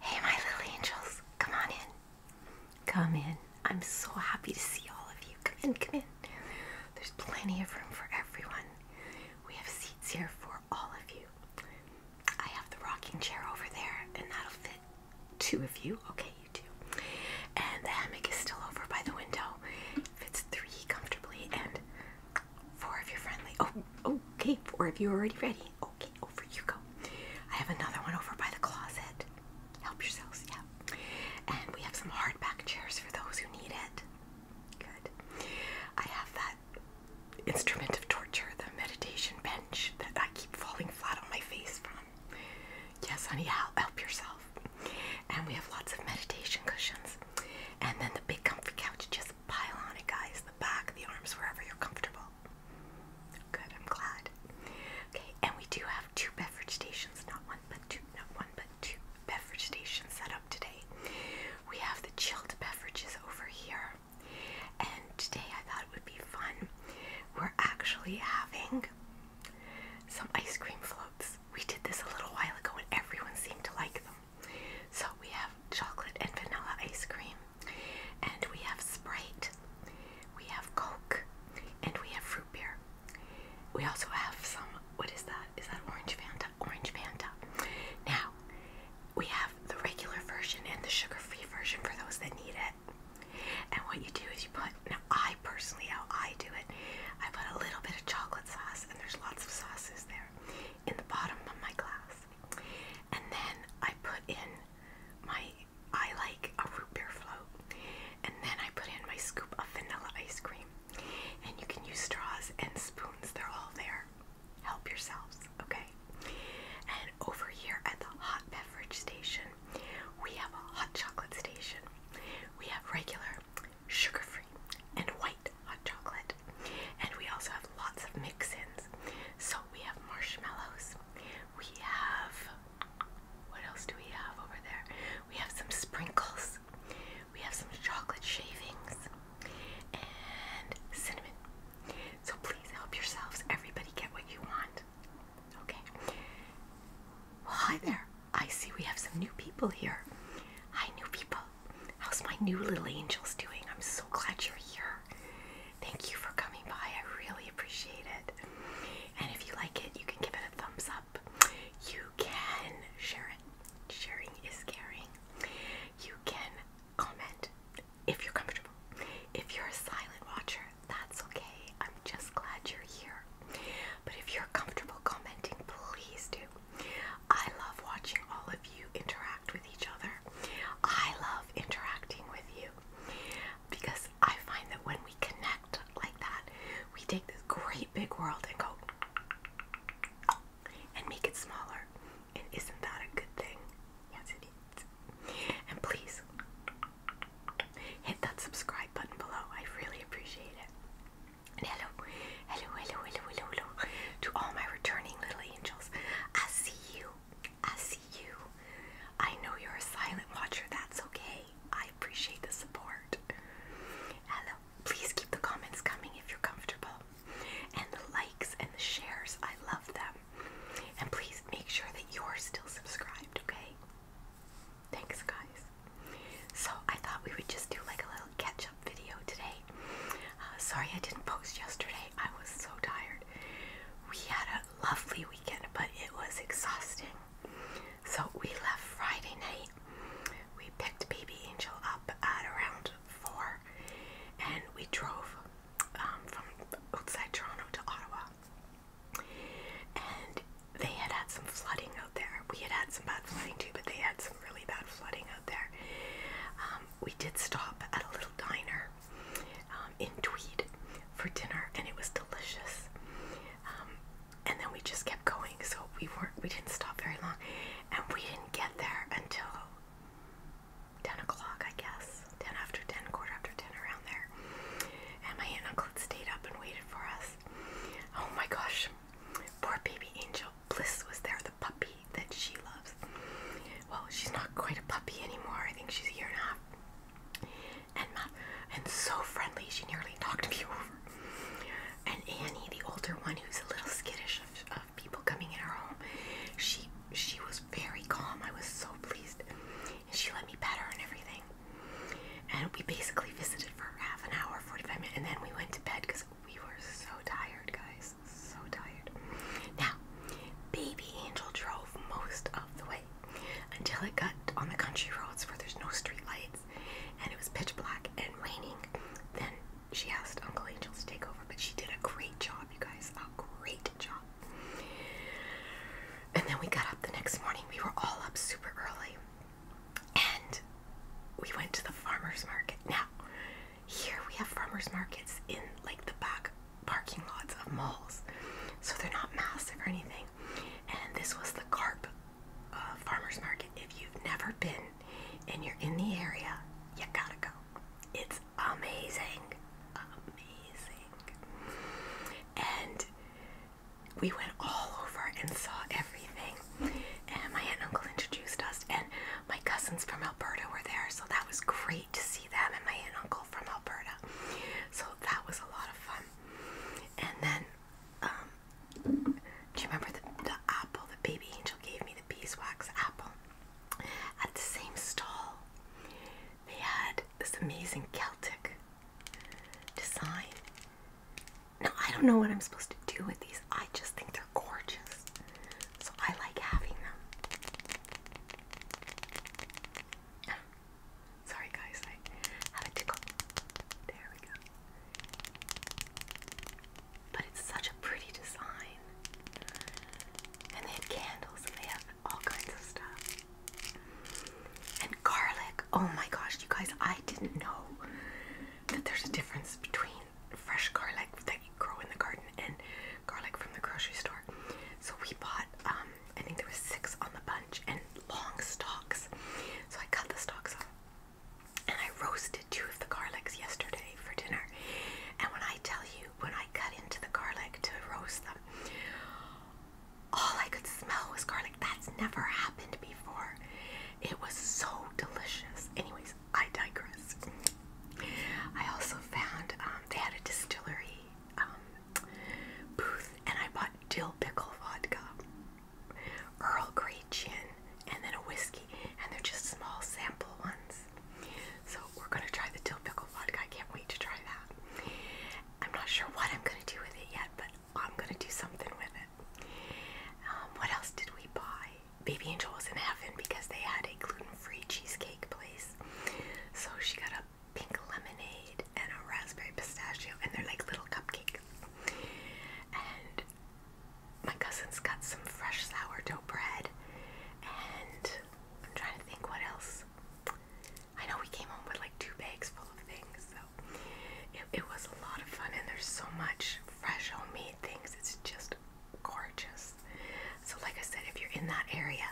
Hey, my little angels, come on in. Come in. I'm so happy to see all of you. Come in, come in. There's plenty of room for everyone. We have seats here for all of you. I have the rocking chair over there, and that'll fit two of you. Okay, you two. And the hammock is still over by the window. Fits three comfortably, and Four if you friendly. Oh, okay. Four of you're already ready. Okay, over you go. I have another one over by the closet. Help yourselves, yeah. And we have some hardback chairs for those who need it. Good. I have that instrument of torture, the meditation bench that I keep falling flat on my face from. Yes, honey, help yourself. And we have lots of meditation cushions. And then the big comfy couch just pile on it, guys. The back, the arms, wherever you're comfortable. Good, I'm glad. Okay, and we do have two beverage stations, not one but two, not one but two beverage stations set up today. We have the chilled beverages over here, and today I thought it would be fun. We're actually having some ice cream floats. We did this a little while ago, and everyone seemed to like them. So we have chocolate and vanilla ice cream, and we have Sprite, we have Coke, and we have fruit beer. We also have some, what is that? Is that Orange Fanta? Orange Fanta. Now, we have the regular version and the sugar free version for those that need it. And what you do is you put, now I personally, how I do it, I put a little bit of chocolate sauce, and there's lots of sauces there in the bottom of my glass. And then I put in my, I like a root beer float. And then I put in my scoop of vanilla ice cream. And you can use straws and spoons, they're all there. Help yourselves, okay? And over here at the hot beverage station, we have a hot chocolate station. We have regular, sugar free, and white hot chocolate. And we also have lots of mix-ins. So we have marshmallows. We have what else do we have over there? We have some sprinkles. We have some chocolate shavings and cinnamon. So please help yourselves. Everybody get what you want. Okay. Well, hi there. I see we have some new people here. Hi, new people. How's my new little angels doing? I'm so glad you're here. Thank you for coming by. I really appreciate it. And if you like it, you can give it a thumbs up. You can share it. Sharing is caring. You can comment if you're comfortable. If you're a silent watcher, that's okay. I'm just glad you're here. But if you're comfortable commenting, please do. I love watching all of you interact with each other. I love interacting with you because I find that when we connect like that, we take this great big world and go and make it smaller. And isn't that a good thing? Yes, it is. And please hit that subscribe button below. I really appreciate it hello, hello, hello, hello, hello, hello to all my returning little angels. I see you. I see you. I know you're a silent watcher. That's okay. I appreciate the support. Hello. Please keep the comments coming if you're comfortable. And the likes and the shares. I love them. And please make sure that you're still subscribed, okay? Thanks, guys. So I thought we would just do like a little catch video today. Uh, sorry I didn't post yesterday. I was so tired. We had a lovely weekend, but it was exhausting. So we left Friday night. We picked Baby Angel up at around 4 and we drove um, from outside Toronto to Ottawa. And they had had some flooding out there. We had had some bad flooding too, but they had some really bad flooding there. Um, we did stop at a little diner um, in Tweed for dinner, and it was delicious. Um, and then we just kept going, so we weren't we didn't stop very long, and we didn't get there until. 10 o'clock, I guess. 10 after 10, quarter after 10, around there. And my aunt and uncle stayed up and waited for us. Oh my gosh. Poor baby angel. Bliss was there puppy that she loves. Well, she's not quite a puppy anymore. I think she's a year and a half. And and so friendly, she nearly talked me over. And Annie, the older one, who's a little skittish of, people coming in her home, she she was very calm. I was so pleased, and she let me pet her and everything. And we basically visited for half an hour, forty-five minutes, and then we went to bed because we were so tired, guys. So tired. Now, Baby Angel drove most of the way until it got on the country roads where there's no streetlights, and it was pitch black and raining. Then she asked Uncle Angel to take over, but she did a great job, you guys. A great job. And then we got up the next morning. We were all up super early. And we went to the farmer's market. Now, here we have farmer's markets in like the back parking lots of malls. So they're not massive or anything. And this was the carp uh, farmer's market. If you've never been and you're in the area, you gotta go. It's amazing. Amazing. And we went all over and saw everything. And my aunt and uncle introduced us, and my cousins from Alberta were there, so that was great to see them and my aunt and uncle from Alberta. So that was a lot of fun. And then, um, do you remember the, the apple? The baby angel gave me the beeswax apple at the same stall. They had this amazing Celtic design now, I don't know what I'm supposed to do with these. I just think they're gorgeous. So I like having them. sorry, guys. I have a tickle. There we go. But it's such a pretty design. And they have candles and they have all kinds of stuff. And garlic. Oh my gosh, you guys, I didn't know that there's a difference between fresh garlic that you grow in the garden and garlic from the grocery store. So we bought, um, I think there was six on the bunch and long stalks. So I cut the stalks off and I roasted two of the garlics yesterday for dinner. And when I tell you, when I cut into the garlic to roast them, all I could smell was garlic. That's never happened before. It was so delicious. Anyways, I digress. I also found um, they had a distillery um, booth, and I bought dill pickle vodka, Earl Grey gin, and then a whiskey. And they're just small sample ones. So we're gonna try the dill pickle vodka. I can't wait to try that. I'm not sure what I'm gonna do with it yet, but I'm gonna do something with it. Um, what else did we buy? Baby Angel was in heaven because they had a gluten-free cheesecake place. So she got a pink lemonade and a raspberry pistachio, and they're like little cupcakes. And my cousins got some fresh sourdough bread, and I'm trying to think what else. I know we came home with like two bags full of things, so it, it was a lot of fun, and there's so much fresh homemade things. It's just gorgeous. So, like I said, if you're in that area,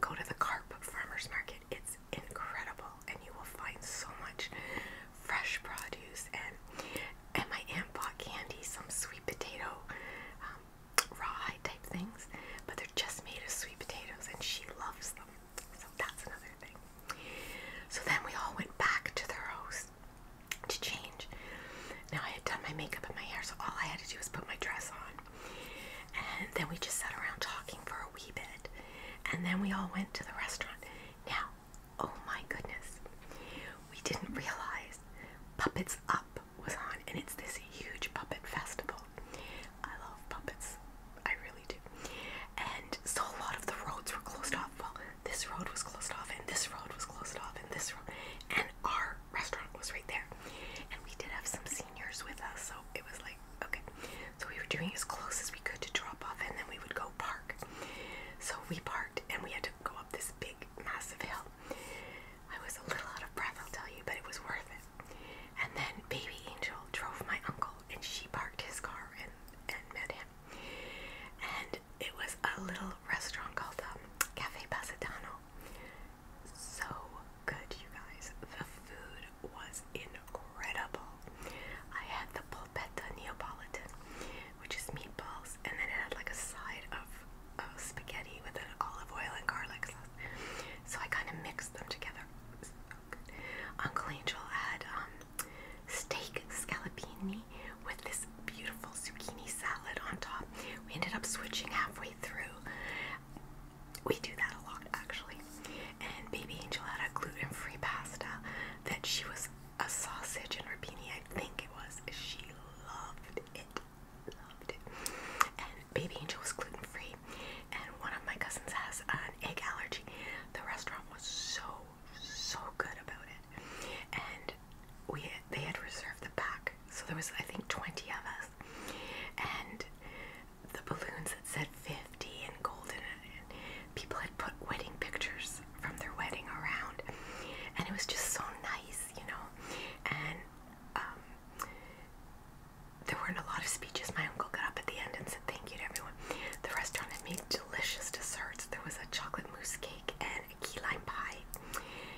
go to the Carp Farmers Market. It's incredible, and you will find so much fresh produce and and my aunt bought candy, some sweet potato, um, rawhide type things, but they're just made of sweet potatoes, and she loves them. So that's another thing. So then we all went back to their house to change. Now I had done my makeup and my hair, so all I had to do was put my dress on. And then we just sat around talking for a wee bit. And then we all went to the restaurant. Now, oh my goodness, we didn't realize Puppets Up was on, and it's this huge puppet festival. I love puppets, I really do. And so a lot of the roads were closed off this road was closed off and this road was closed off and this road and our restaurant was right there. And we did have some seniors with us, so it was like okay. So we were doing as close as we could to drop off and then we would go park. So we parked and we had to go up this big massive hill. I was a little out of breath, I'll tell you, but it was worth it. And then Baby Angel drove my uncle and she parked his car and, and met him and it was a little restaurant called the um, Cafe Pasadano. So good, you guys. The food was incredible. I had the polpetta Neapolitan, which is meatballs, and then it had like a side of spaghetti with an olive oil and garlic sauce. So I kind of mixed them together. Uncle Angel had um, steak scallopini with this beautiful zucchini salad on top. We ended up switching halfway through. We do that a lot actually. And Baby Angel had a gluten free pasta that she was a sausage and rapini, I think it was. She loved it. Loved it. And Baby Angel was gluten free. And one of my cousins has an egg allergy. The restaurant was so so good about it. And we had, they had reserved the back, so there was I think 20 of us, and the balloons that said 50 in golden, and people had put wedding pictures from their wedding around, and it was just so nice, you know. And um, there weren't a lot of speeches, my uncle got up at the end and said thank you to everyone. The restaurant had made delicious desserts. There was a chocolate mousse cake and a key lime pie.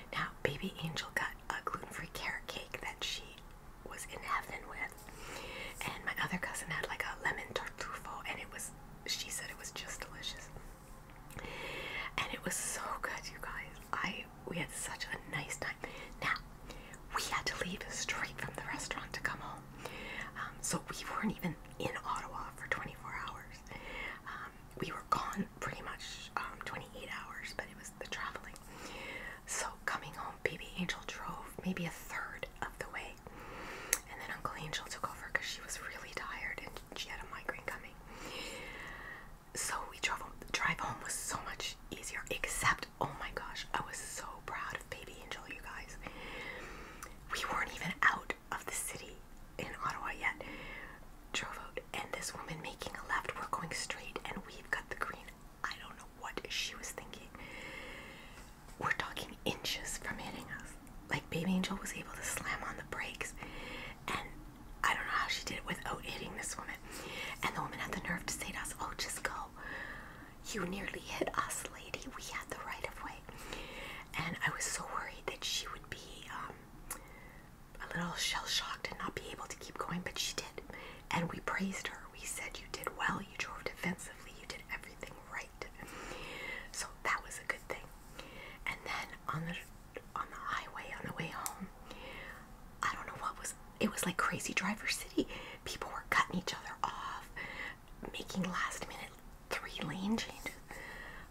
Now, baby Angel got a gluten-free carrot cake that she was in heaven with, and my other cousin had like a lemon tartufo, and it was. She said it was just delicious, and it was so good, you guys. I we had such a nice time. Now we had to leave straight from the restaurant to come home. Um, so we weren't even in Ottawa for 24 hours. Um, we were gone pretty much um, 28 hours, but it was the traveling. So coming home, baby Angel drove maybe a third of the way, and then Uncle Angel took over because she was really tired and she had a migraine coming. So we drove home. The drive home was so much easier, except oh my gosh, I was so proud of Baby Angel, you guys. We weren't even out of the city in Ottawa yet. Drove out, and this woman making a left, we're going straight, and we've got the green. I don't know what she was thinking. We're talking inches from hitting us. Like, Baby Angel was able to slam on the brakes, and I don't know how she did it without hitting this woman. And the woman had the nerve to say to us, Oh, just go. You nearly hit us, lady. We had the right of way. And I was so worried that she would be um, a little shell shocked and not be able to keep going, but she did. And we praised her. We said, You did well. You drove defensively. You did everything right. So that was a good thing. And then on the on the highway on the way home, I don't know what was it was like crazy driver city. People were cutting each other off making last minute three lane changes.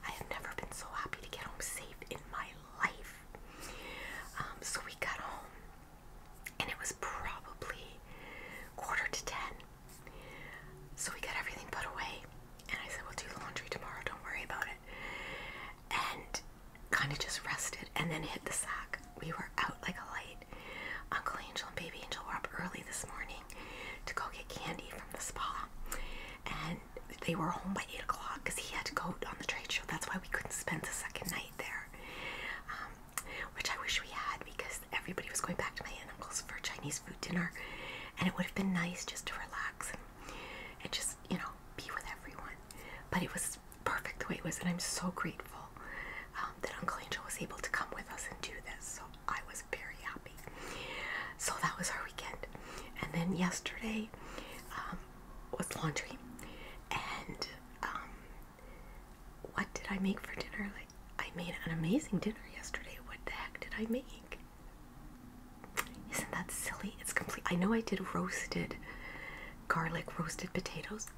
I have never been so happy to get home safe in my life. Um, so we got home, and it was probably quarter to ten. So we got everything put away, and I said, We'll do the laundry tomorrow, don't worry about it. And kind of just rested and then hit the sack we were out like a light. Uncle Angel and Baby Angel were up early this morning to go get candy from the spa, and they were home by eight o'clock because he had to go on the trade show. That's why we couldn't spend the second night there, um, which I wish we had because everybody was going back to my aunt uncle's for Chinese food dinner, and it would have been nice just to relax and just you know be with everyone. But it was perfect the way it was, and I'm so grateful um, that Uncle Angel was able to come with us and do this. So I was very happy. So that was our weekend. And then yesterday um, was laundry. And um, what did I make for dinner? Like, I made an amazing dinner yesterday. What the heck did I make? Isn't that silly? It's complete. I know I did roasted garlic roasted potatoes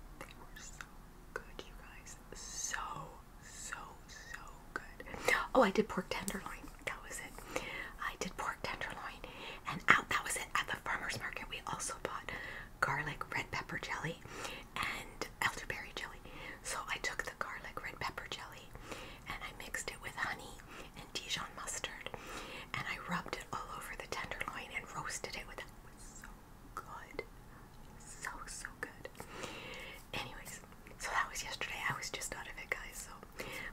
so good, you guys. So, so, so good. Oh, I did pork tenderloin. That was it. I did pork tenderloin. And out, that was it. At the farmer's market, we also bought garlic red pepper jelly and elderberry jelly. So I took the garlic red pepper jelly and I mixed it with honey and Dijon mustard and I rubbed it all over the tenderloin and roasted it with that. It good. So, so good. Anyways, so that was yesterday. I was just out of it, guys. So,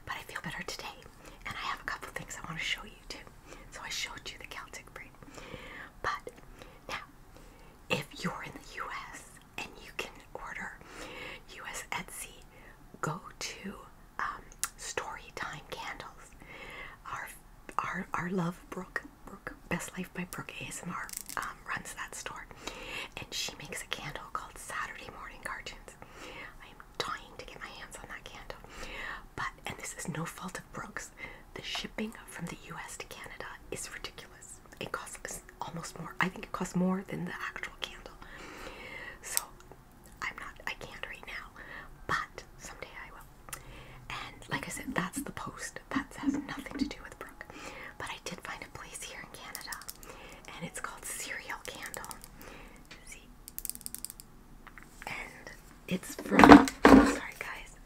but I feel better today, and I have a couple things I want to show you too. So I showed you the Celtic braid, but now, if you're in the U.S. and you can order U.S. Etsy, go to um, Story Time Candles. Our our our love Brooke Brooke, Best Life by Brooke ASMR um, runs that store, and she makes a candle called Saturday Morning Cartoons. I am dying to get my hands on that candle, but and this is no fault of Brooke's. The shipping from the U.S. to Canada is ridiculous. It costs almost more. I think it costs more than the actual candle. So I'm not. I can't right now, but someday I will. And like I said, that's the post. That has nothing to do with Brooke. But I did find a place here in Canada, and it's called Cereal Candle. See? And it's from, sorry guys,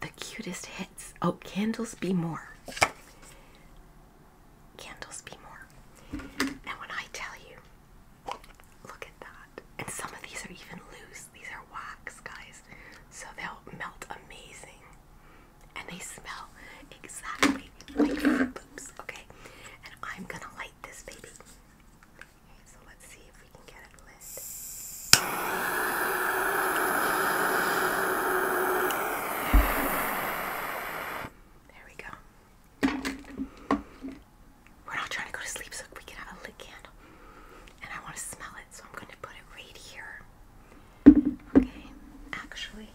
the cutest hits. Oh, Candles Be More. Candles Be More. And when I tell you, Look at that. And some of these are even loose. These are wax, guys. So they'll melt amazing. And they smell exactly like your Loops, okay? And I'm gonna light this baby. Okay, so let's see if we can get it lit. There we go we're not trying to go to sleep, so we can have a lit candle. And I want to smell it, so I'm going to put it right here. Okay, actually,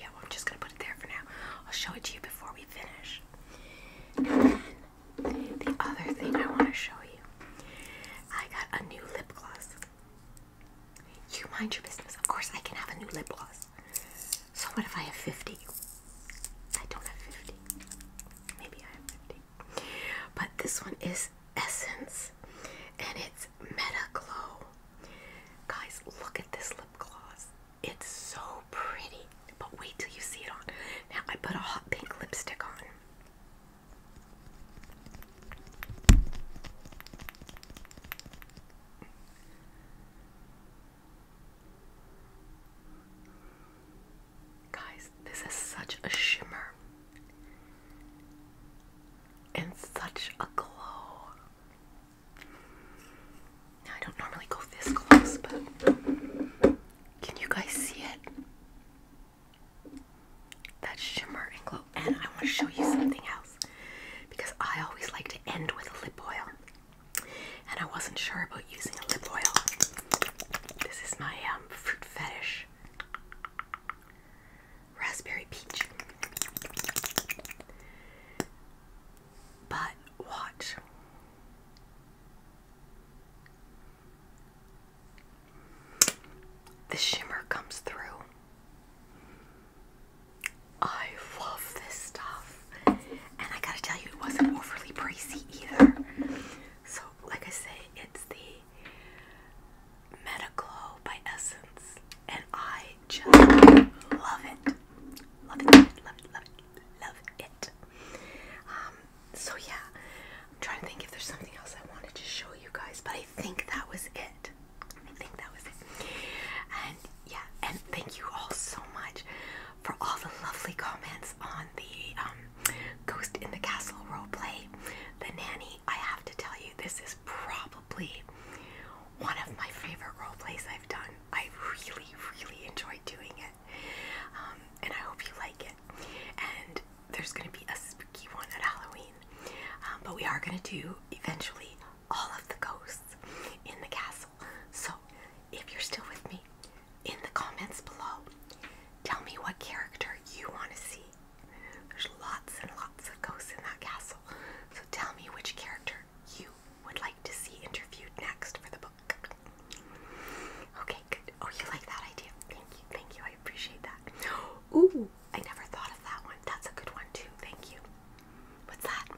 yeah, I'm just going to put it there for now. I'll show it to you before we finish. And then the other thing I want to show you I got a new lip gloss. You mind your business. Of course, I can have a new lip gloss. So, what if I have 50? I don't have 50. Maybe I have 50. But this one is Essence and it's Meta Glow. Guys, look at this lip gloss. It's so pretty. But wait till you see it on. Now I put a hot pink lipstick on. Guys, this is such a shimmer and such a glow. I don't normally go this close, but can you guys see it? That shimmer and glow. And I want to show you something else because I always like to end with a lip oil and I wasn't sure about using a lip oil. This is my um, fruit fetish raspberry peach. But watch. The shimmer comes through. I love this stuff. And I gotta tell you, it wasn't overly pricey either. So, like I say, it's the Metaglow by Essence, and I just love it. Love it, love it, love it, love it. Um, so, yeah, I'm trying to think if there's something else I wanted to show you guys, but I think that was it. I think that was it. And yeah, and thank you all so much for all the lovely comments on the um, Ghost in the Castle role play, The Nanny, I have to tell you, this is probably one of my favorite role plays I've done. I really, really enjoyed doing it. Um, and I hope you like it. And there's going to be a spooky one at Halloween. Um, but we are going to do eventually all of the ghosts in the castle. So if you're still with me, in the comments below, tell me what character you want to see. There's lots and lots of ghosts in that castle, so tell me which character you would like to see interviewed next for the book. Okay, good. Oh, you like that idea? Thank you, thank you. I appreciate that. Ooh, I never thought of that one. That's a good one, too. Thank you. What's that?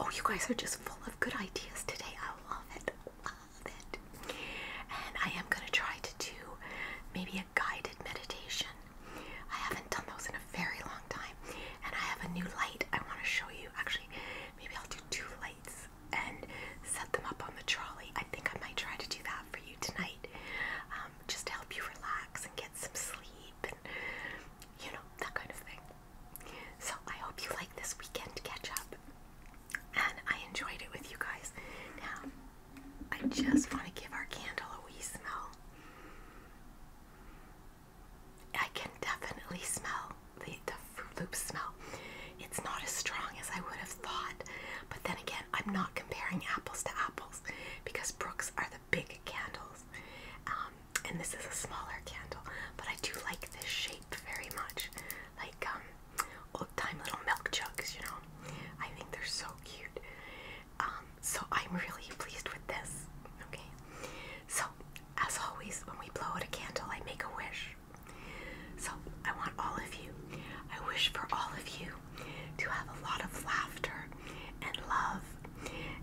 Oh, you guys are just full of good ideas today. I love it. Love it. And I am going to try to do maybe a guided meditation. I haven't done those in a very long time. And I have a new light I want to show you. Actually, maybe I'll do two lights and set them up on the trolley. I think I might try to do that for you tonight. Um, just to help you relax and get some sleep and, you know, that kind of thing. So I hope you like this weekend catch up and I enjoyed it with you guys. Now, I just want to give our candle a wee smell. I can definitely smell the, the Fruit Loop smell. It's not as strong as I would have thought, but then again, I'm not comparing apples to apples because Brooks are the big candles. Um, and this is a smaller candle, but I do like this shape very much. Like um, old time little milk jugs, you know. I think they're so cute. Um, so I'm really pleased with this. Okay. So as always, when we blow out a candle, I make a wish. So I want all of you. I wish for all of you to have a lot of laughter and love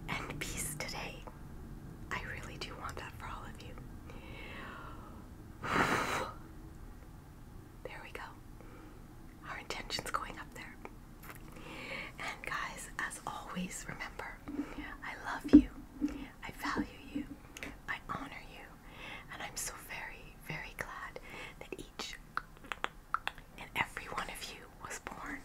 and peace today. I really do want that for all of There we go. Our intention's going up there. And guys, as always, remember, I love you, I value you, I honor you, and I'm so very, very glad that each and every one of you was born.